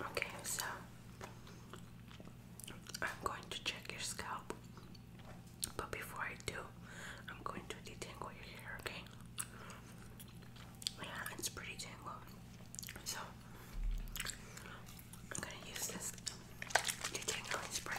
Okay, so I'm going to check your scalp, but before I do, I'm going to detangle your hair, okay? it's pretty tangled. So I'm gonna use this detangling spray.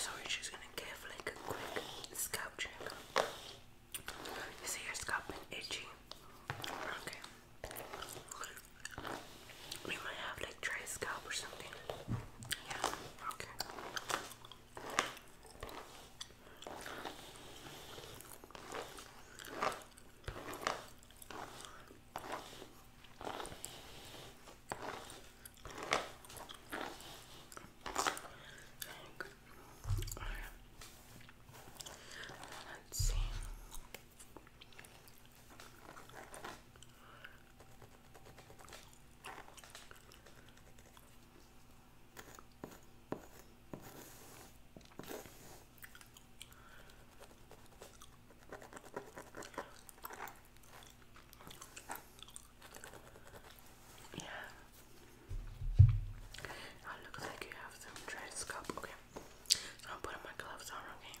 So we gonna give like a quick scalp check. You see your scalp been itchy? Okay. We might have like like dry scalp or something. Yeah, okay. Let's see. Yeah. Now oh, it like you have some dread Okay. So I'm putting my gloves on, okay?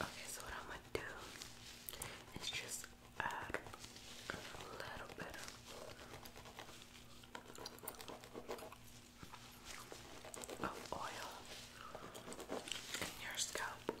Okay, so what I'm gonna do is just add a little bit of oil in your scalp.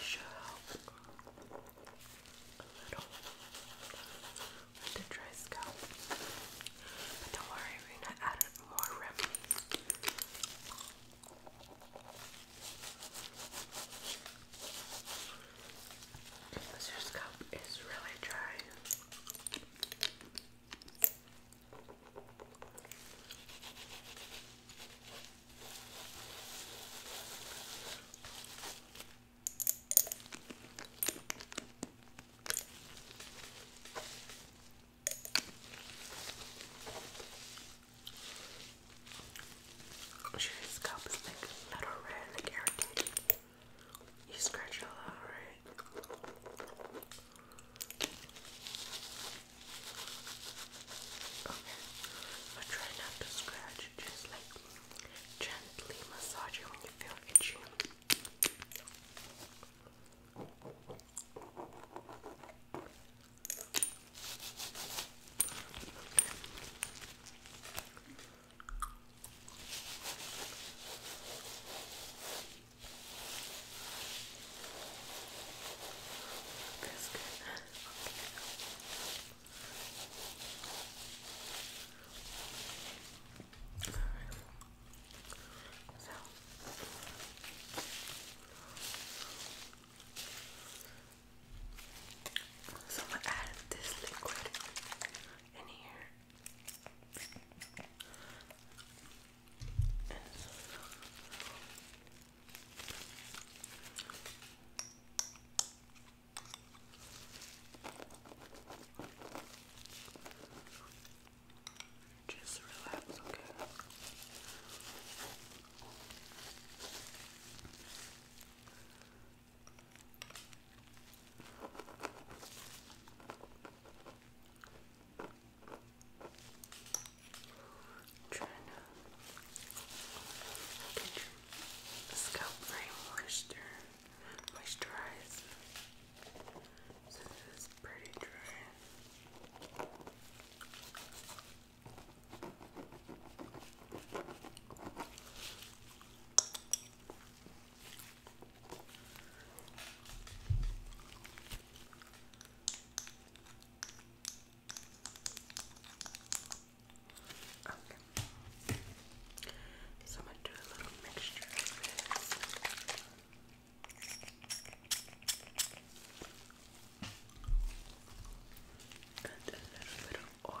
Show a little with the dry scalp. don't worry, we're gonna add more remedies. Because your scalp is really dry. I'm sure your little red, like irritated. You scratch a lot, right? Okay, try not to scratch, just like gently massage when you feel itchy. That's good. Okay. All right. So so I'm gonna add this liquid in here. Just relax, okay? I'm trying to get your scalp very moisturized. So this pretty dry. Okay. So I'm going to do a little mixture of a little bit of oil.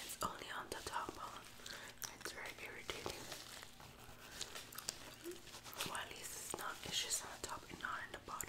It's only on the top bone. It's very irritating. at least it's not. It's just on the top not on the bottom.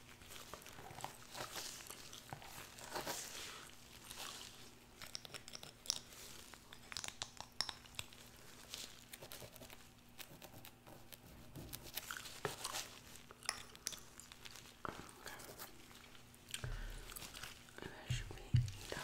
Okay. That should be done.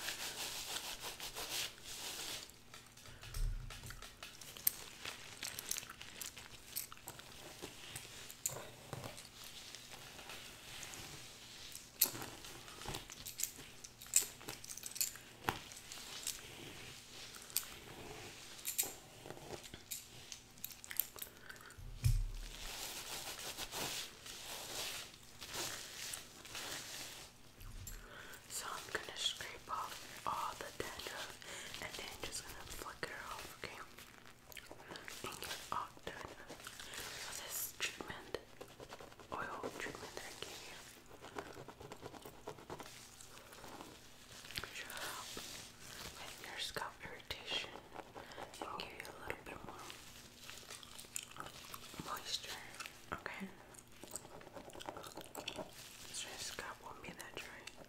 So I'm going to scrape off all the dandruff and then just gonna flicker her off, okay? And get all this treatment, oil treatment that I gave you, your scalp irritation give you a little bit more moisture, okay? So your scalp won't be that dry.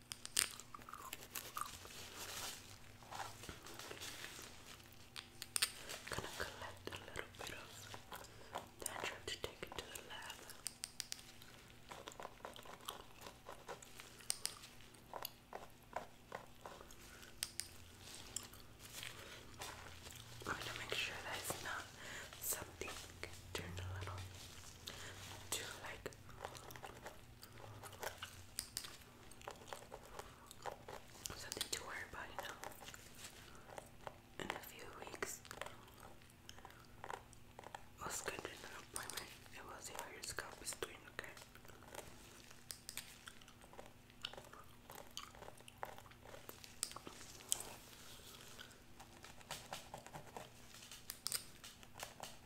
Gonna collect a little bit of that to take it to the lab. I'm gonna make sure that it's not something turned a like Something to worry about, you know. In a few weeks, I was scheduled an appointment and we'll see scalp is Okay.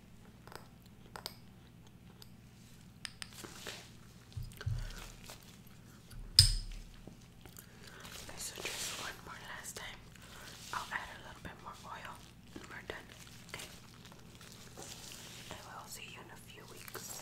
Okay, so just one more last time. I'll add a little bit more oil and we're done. Okay. I will see you in a few weeks.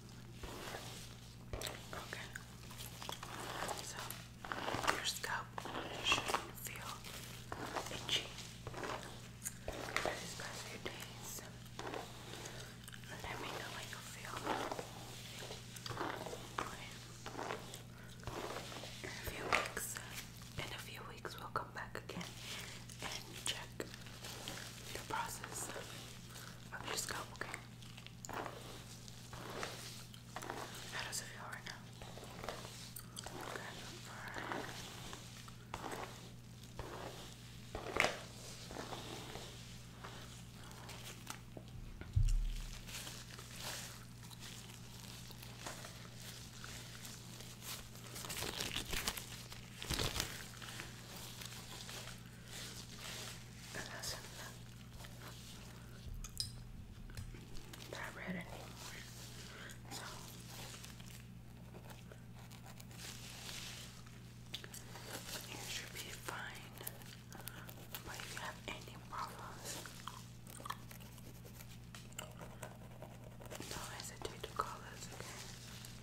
Okay. So your scalp should feel itchy these past few days. Um, let me know how you feel. In a few weeks, uh, in a few weeks, we'll come back again and check the process. Let me just go, okay? How does it feel right now? Okay. It that red anymore. So you should be fine. But if you have any problems, don't hesitate to call us, okay?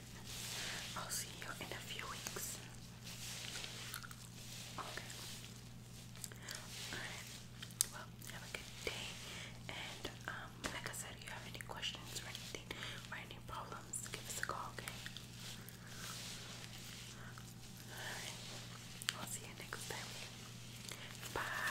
I'll see you in a few weeks. Okay. Alright. have a good day. And um, like I said, if you have any questions or anything or any problems, give us a call, okay? Alright. I'll see you next time. Bye.